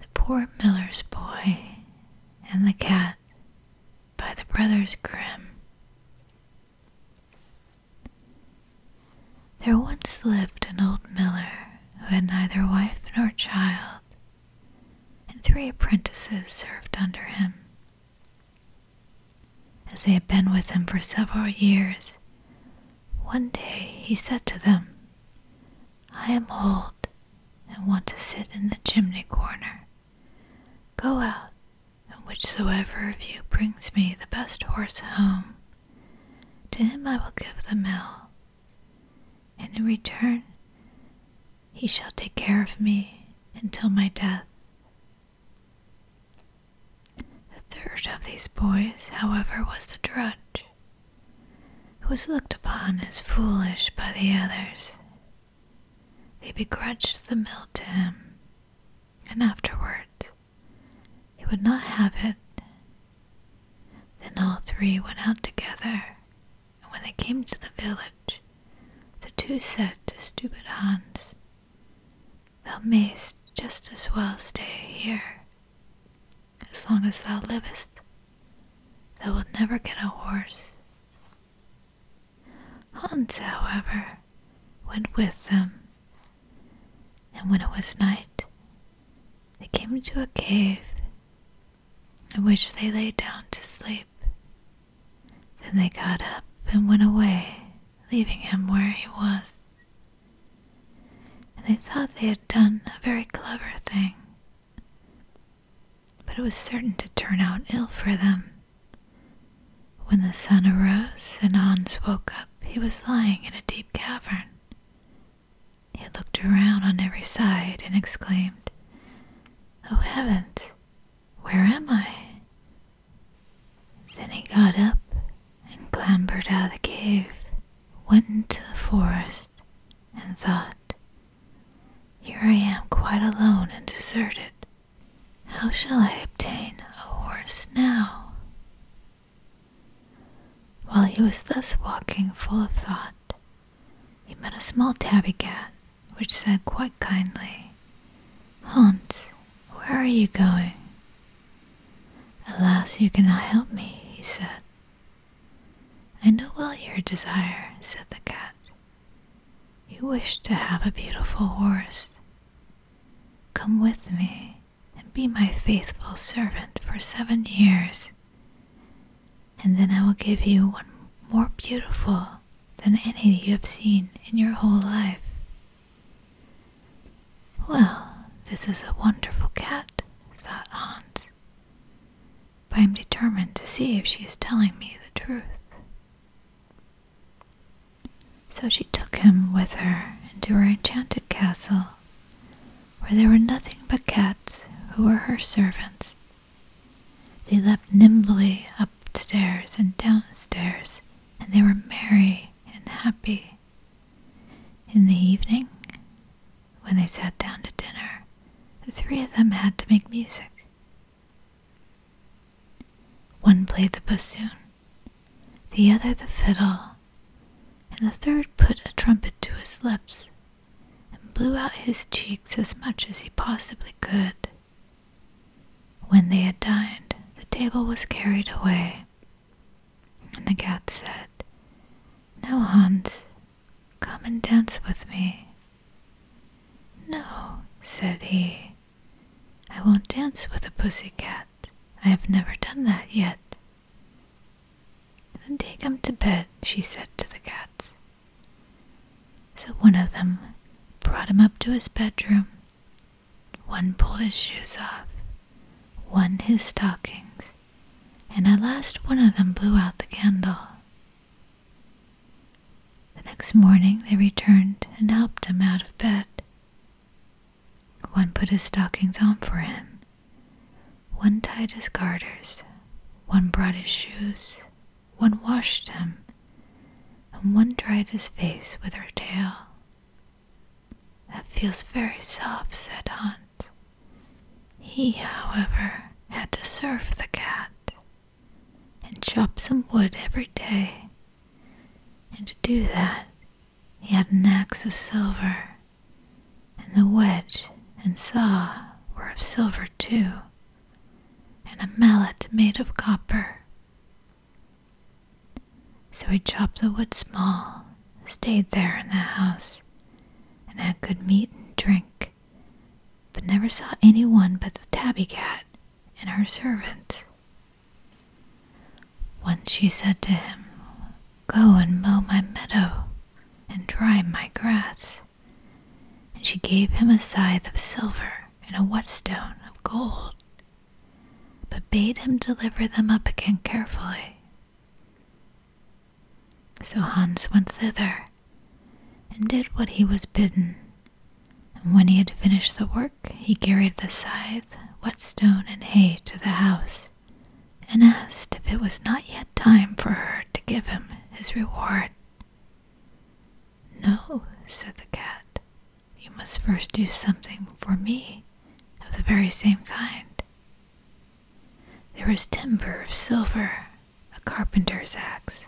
The Poor Miller's Boy and the Cat by the Brothers Grimm. There once lived an old miller who had neither wife nor child, and three apprentices served under him. As they had been with him for several years, one day he said to them, I am old and want to sit in the chimney corner. Go out, and whichsoever of you brings me the best horse home, to him I will give the mill, and in return he shall take care of me until my death. The third of these boys, however, was the drudge, who was looked upon as foolish by the others. They begrudged the milk to him, and afterwards he would not have it. Then all three went out together, and when they came to the village, the two said to stupid Hans, Thou mayst just as well stay here as long as thou livest, thou wilt never get a horse. Hans, however, went with them, and when it was night, they came to a cave in which they lay down to sleep. Then they got up and went away, leaving him where he was and they thought they had done a very clever thing. But it was certain to turn out ill for them. When the sun arose and Hans woke up, he was lying in a deep cavern. He looked around on every side and exclaimed, Oh heavens, where am I? Then he got up and clambered out of the cave went into the forest and thought, Here I am quite alone and deserted. How shall I obtain a horse now? While he was thus walking full of thought, he met a small tabby cat, which said quite kindly, Hans, where are you going? Alas, you cannot help me, he said. I know well your desire, said the cat. You wish to have a beautiful horse. Come with me and be my faithful servant for seven years, and then I will give you one more beautiful than any you have seen in your whole life. Well, this is a wonderful cat, thought Hans, but I'm determined to see if she is telling me the truth. So she took him with her into her enchanted castle, where there were nothing but cats who were her servants. They leapt nimbly up stairs and down stairs, and they were merry and happy. In the evening, when they sat down to dinner, the three of them had to make music. One played the bassoon, the other the fiddle, and the third put a trumpet to his lips and blew out his cheeks as much as he possibly could. When they had dined, the table was carried away and the cat said, Now, Hans, come and dance with me. No, said he, I won't dance with a pussy cat. I have never done that yet. Then take him to bed, she said to the cats. So one of them brought him up to his bedroom. One pulled his shoes off, one his stockings, and at last one of them blew out the candle. The next morning they returned and helped him out of bed. One put his stockings on for him, one tied his garters, one brought his shoes, one washed him, and one dried his face with her tail. That feels very soft, said Hans. He, however, had to serve the cat and chop some wood every day, and to do that he had an axe of silver, and the wedge and saw were of silver too, and a mallet made of copper. So he chopped the wood small, stayed there in the house, and had good meat and drink, but never saw any one but the tabby cat and her servants. Once she said to him, Go and mow my meadow and dry my grass. And she gave him a scythe of silver and a whetstone of gold, but bade him deliver them up again carefully so Hans went thither and did what he was bidden. And when he had finished the work, he carried the scythe, whetstone, and hay to the house, and asked if it was not yet time for her to give him his reward. No, said the cat, you must first do something for me of the very same kind. There was timber of silver, a carpenter's axe,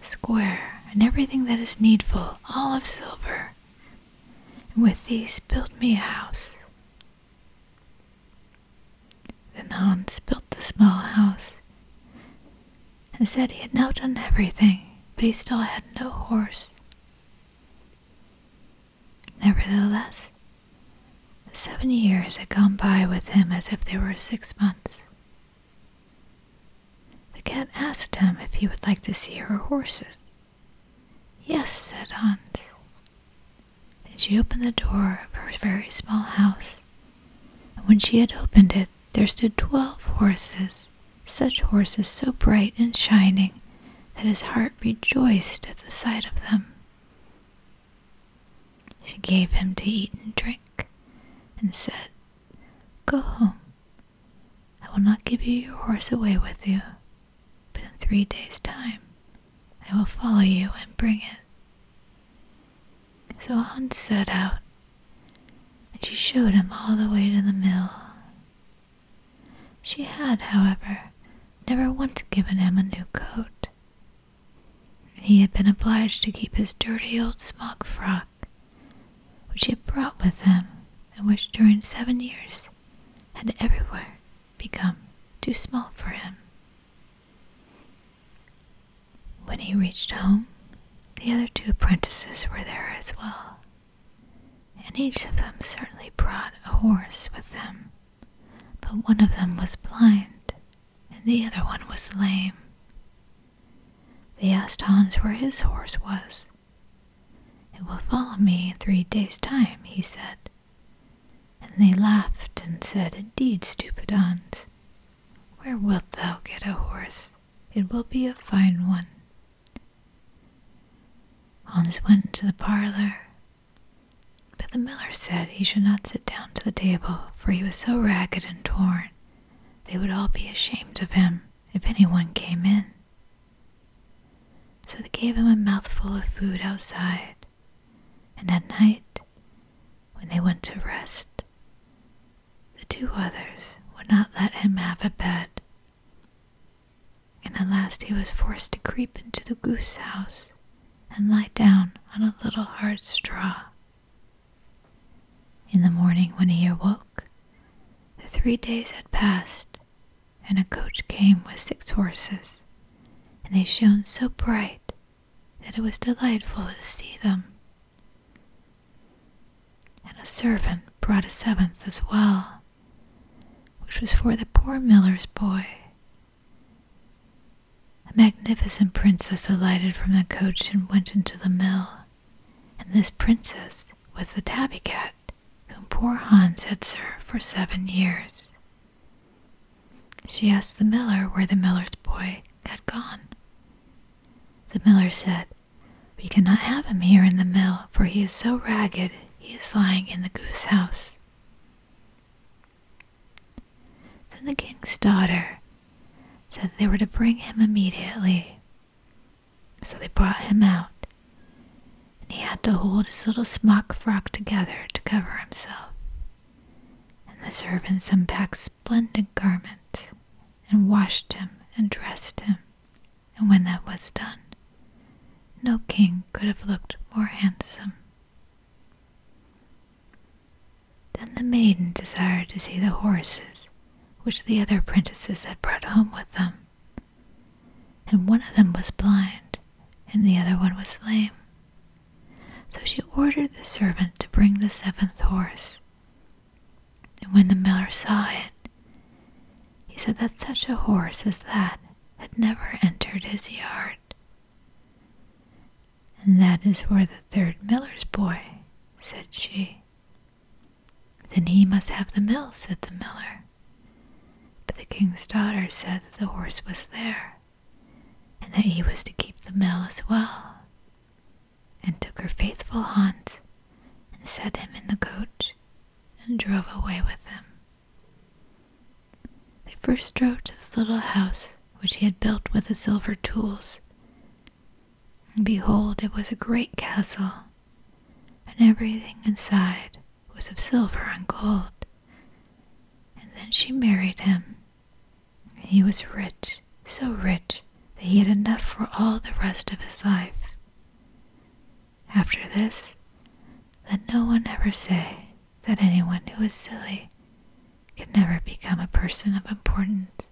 a square, and everything that is needful, all of silver. And with these built me a house. Then Hans built the small house, and said he had now done everything, but he still had no horse. Nevertheless, seven years had gone by with him as if they were six months. The cat asked him if he would like to see her horses. Yes, said Hans. And she opened the door of her very small house, and when she had opened it, there stood twelve horses, such horses so bright and shining that his heart rejoiced at the sight of them. She gave him to eat and drink, and said, Go home. I will not give you your horse away with you, but in three days' time I will follow you and bring it. So Hans set out, and she showed him all the way to the mill, she had, however, never once given him a new coat. He had been obliged to keep his dirty old smock frock, which he had brought with him, and which during seven years had everywhere become too small for him. When he reached home, the other two apprentices were there as well and each of them certainly brought a horse with them. But one of them was blind, and the other one was lame. They asked Hans where his horse was. It will follow me in three days' time, he said. And they laughed and said, Indeed, stupid Hans, where wilt thou get a horse? It will be a fine one, Hans went into the parlor, but the miller said he should not sit down to the table, for he was so ragged and torn they would all be ashamed of him if anyone came in. So they gave him a mouthful of food outside, and at night, when they went to rest, the two others would not let him have a bed, and at last he was forced to creep into the goose house and lie down on a little hard straw. In the morning, when he awoke, the three days had passed, and a coach came with six horses, and they shone so bright that it was delightful to see them. And a servant brought a seventh as well, which was for the poor miller's boy. A magnificent princess alighted from the coach and went into the mill, and this princess was the tabby cat whom poor Hans had served for seven years. She asked the miller where the miller's boy had gone. The miller said, we cannot have him here in the mill, for he is so ragged he is lying in the goose house. Then the king's daughter said they were to bring him immediately. So they brought him out, and he had to hold his little smock frock together to cover himself. And the servants unpacked splendid garments and washed him and dressed him and when that was done, no king could have looked more handsome. Then the maiden desired to see the horses which the other apprentices had brought home with them, and one of them was blind, and the other one was lame. So she ordered the servant to bring the seventh horse. And when the miller saw it, he said that such a horse as that had never entered his yard. And that is where the third miller's boy, said she. Then he must have the mill, said the miller. But the king's daughter said that the horse was there, and that he was to keep the mill as well, and took her faithful Hans and set him in the coach and drove away with them. They first drove to the little house which he had built with the silver tools. And behold, it was a great castle, and everything inside was of silver and gold. And then she married him. He was rich, so rich that he had enough for all the rest of his life. After this, let no one ever say that anyone who is silly can never become a person of importance.